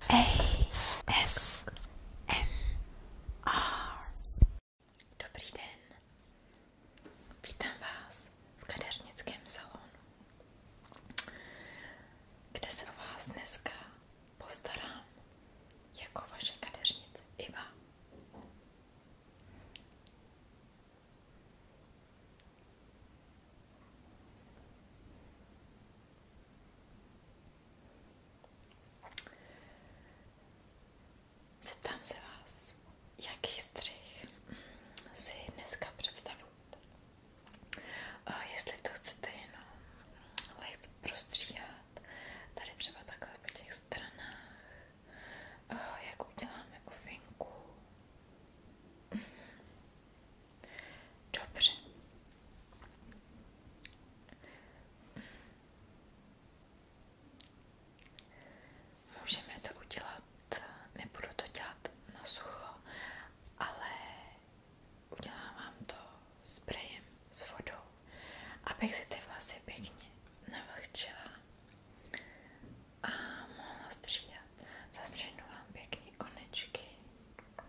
ASMR. Dobrý den. Vítám vás v kadernickém salonu, kde se o vás dneska postarám jako vaše kadeřnice Iva. Zeptám se vás, jaký střih si dneska představujete. Jestli to chcete jenom lehce prostříhat, tady třeba takhle po těch stranách, jak uděláme ofinku, Dobře. Můžeme to udělat, nebudu to dělat na sucho, ale udělám vám to sprejem s vodou, abych si ty vlasy pěkně navlhčila a mohla střídat. Zastřihnu vám pěkně konečky.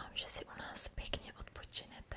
Ska, že si u nás pěkně odpočinete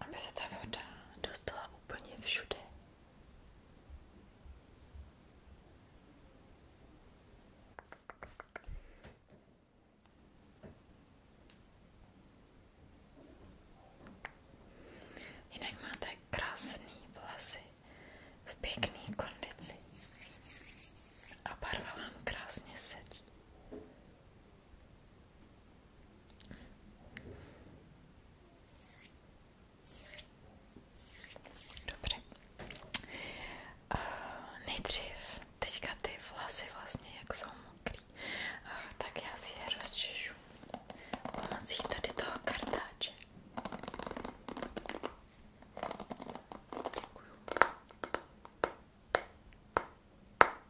aby se ta voda dostala úplně všude. Jinak máte krásný vlasy v pěkné kondici a barva vám krásně sedí. Dobře. Uh, nejdřív teďka ty vlasy vlastně, jak jsou mokrý, uh, tak já si je rozčešu pomocí tady toho kartáče. Děkuju.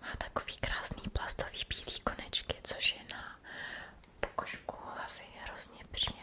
Má takový krásný plastový bílý konečky, což je na pokožku hlavy hrozně příjemný.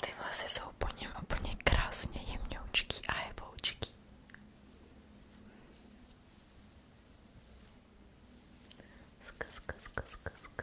Ty vlasy jsou po něm úplně krásně jemňoučký a heboučký. Ska, ska, ska, ska, ska.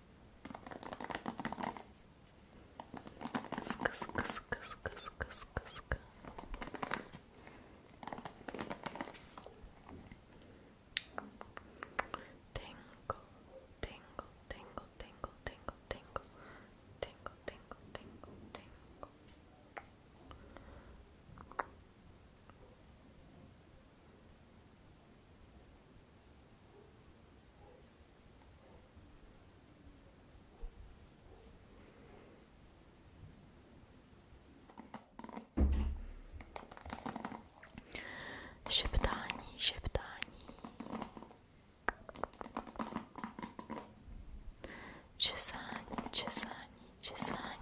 Ska, tingle, tingle, tingle, tingle, tingle, tingle, tingle, tingle, tingle, tingle Šeptání, šeptání. Česání, česání, česání.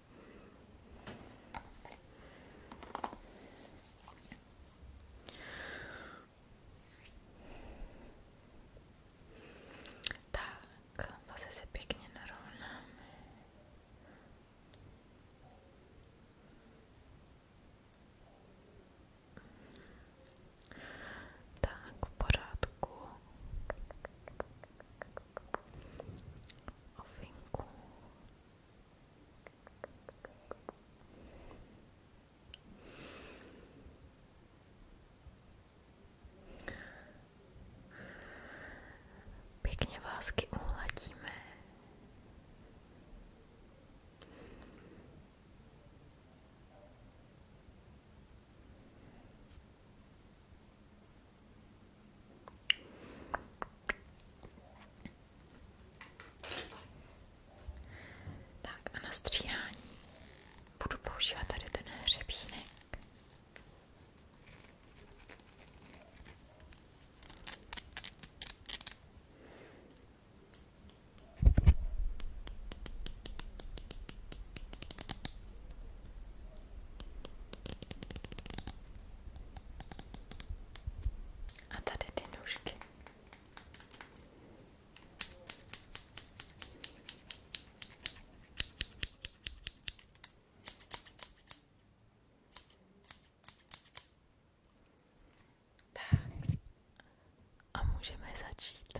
Tak, zase se pěkně narovnáme. Tak, v pořádku ovinku. Pěkně vlásky uhladíme. Tak a na stříhání budu používat tady ten hřebínek. A tady ty nůžky. Tak. A můžeme začít.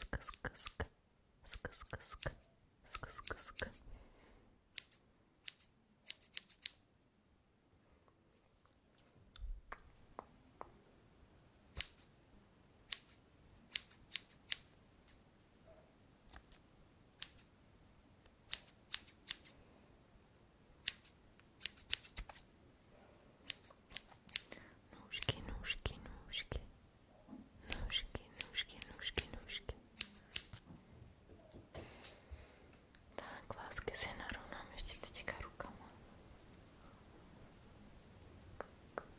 Ска-ска-ска, ска-ска-ска, ска-ска-ска. Nůžky, nůžky, nůžky. Nůžky, nůžky, nůžky, nůžky. Tak, lásky si narovnám ještě teďka rukama.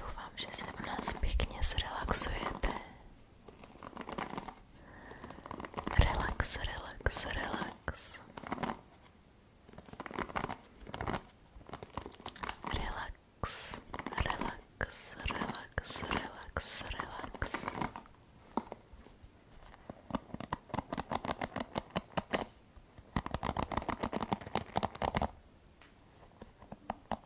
Doufám, že se u nás pěkně zrelaxujete. Relax, relax, relax. Relax, relax, relax, relax, relax.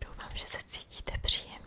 Doufám, že se cítíte příjemně.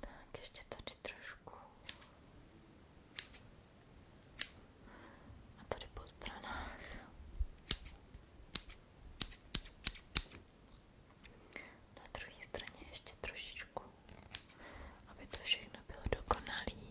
Tak, ještě tady trošku. A tady po stranách. Na druhé straně ještě trošičku, aby to všechno bylo dokonalý.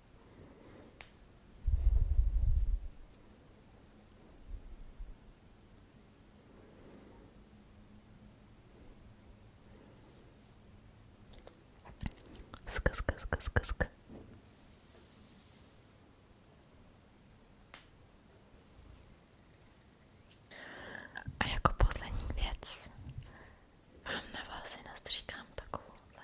Sk, sk, sk, sk, sk. A jako poslední věc vám na vás nastříkám takovouhle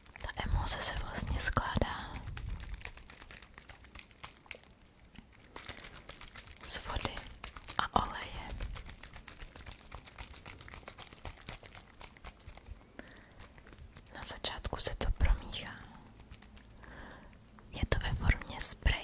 Ta emoce se vlastně skládá z vody a oleje. Na začátku se to promíchá. Je to ve formě spreje.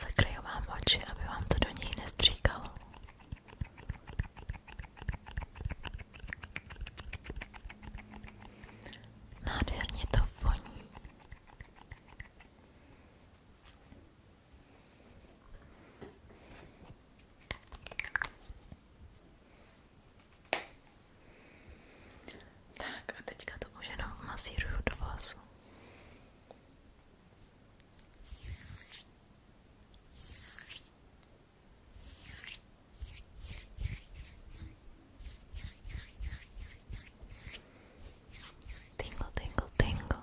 Zakryju vám oči, aby vám to do nich nestříkalo. Nádherně to voní. Tak a teďka to už jenom masíruju do vlasu. Tingle, tingle, tingle.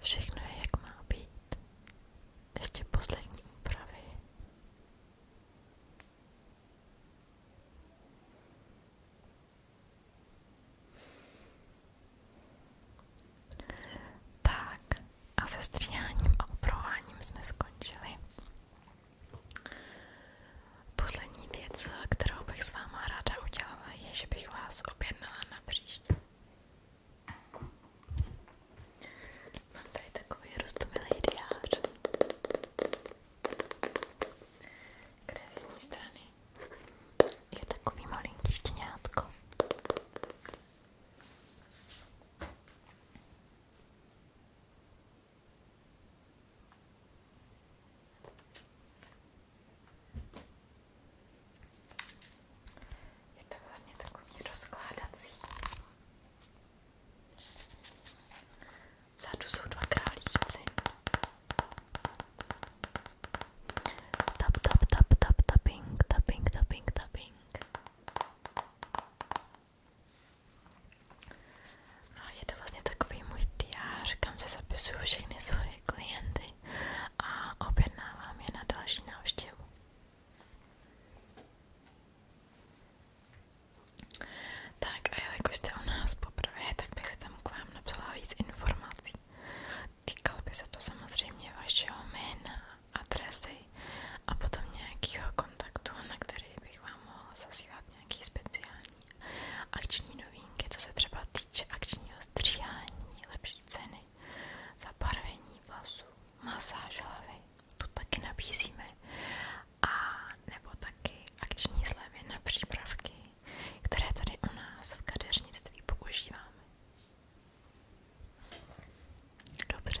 Všechno je, jak má být. Ještě poslední úpravy. Tak a se stříháním jsme skončili. Poslední věc, kterou bych s váma ráda udělala, je, že bych vás objednala na příště. Mám tady takový roztomilý diář, kde z jedné strany je takový malinký štěňátko. A je to vlastně takový rozkládací. Vzadu Tap, tap, tap, tap, tapping, tapping, tapping, tapping. A je to vlastně takový můj diář, kam všechny svoje klienty knihy a objednávám je na další návštěvu. Tak a jelikož jste u nás poprvé, tak bych si tam k vám napsala víc informací. Týkalo by se to samozřejmě vašeho jména, adresy a potom nějakého kontaktu, na který bych vám mohla zasílat nějaký speciální Akční novinky, co se třeba týče akčního stříhání, lepší ceny, zabarvení vlasů, masáž hlavy, tu taky nabízíme. A nebo taky akční slevy na přípravky, které tady u nás v kadeřnictví používáme. Dobře.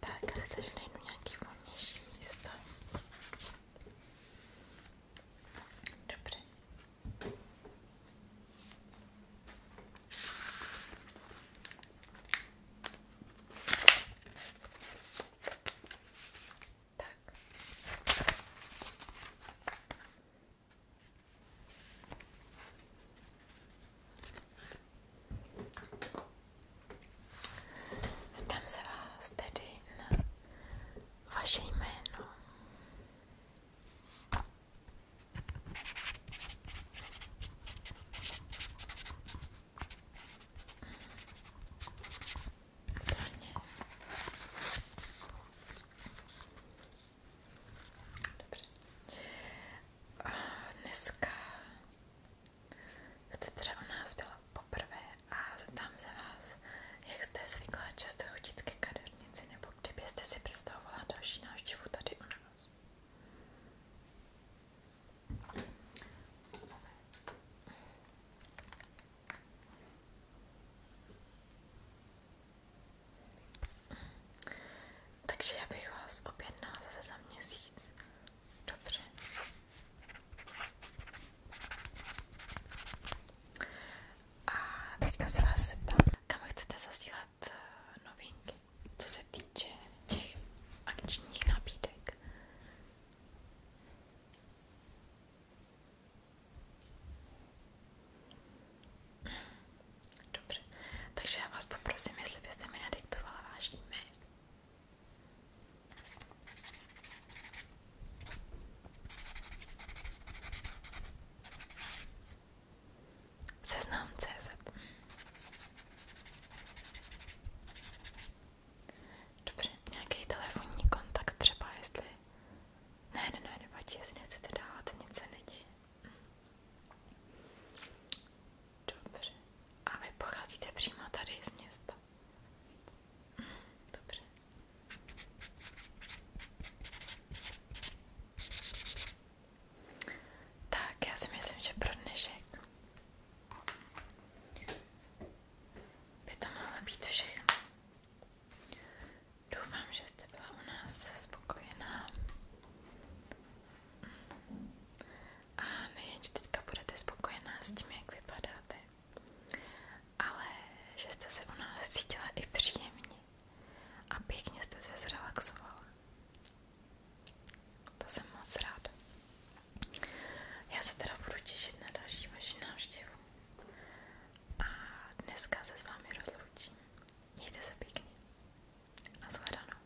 Tak, asi tady najdu nějaký volnější místo. Dobře. Tak. Zeptám se vás tedy na vaše jméno. Dobrně. Dobře. Dneska Jste teda u nás byla poprvé a zeptám se vás, jak jste zvyklá často chodit ke kadernici, nebo kdybyste si představovala další návštěvu tady u nás. Takže já bych vás objednala zase za měsíc Dobře. A teďka se vás zeptám, kam chcete zasílat eh, novinky, co se týče těch akčních nabídek. Dobře, takže já vás poprosím, jestli byste mi nadiktovala váš e-mail. Seznam CZ. Dobře, nějaký telefonní kontakt třeba, jestli... Ne, ne, ne, nevadí, jestli nechcete dávat, nic se neděje. Dobře. A vy pocházíte přímo tady z města? Dobře. Tak, já si myslím, že pro dnešek by to mohlo být všechno. Doufám, že jste byla u nás spokojená a nejen, že teďka budete spokojená s tím, jak vypadáte, ale že jste se u nás cítila i příjemně a pěkně jste se zrelaxovala. To jsem moc ráda. Já se teda budu těšit na další vaši návštěvu. A dneska se s vámi rozloučím. Mějte se pěkně. A shledanou.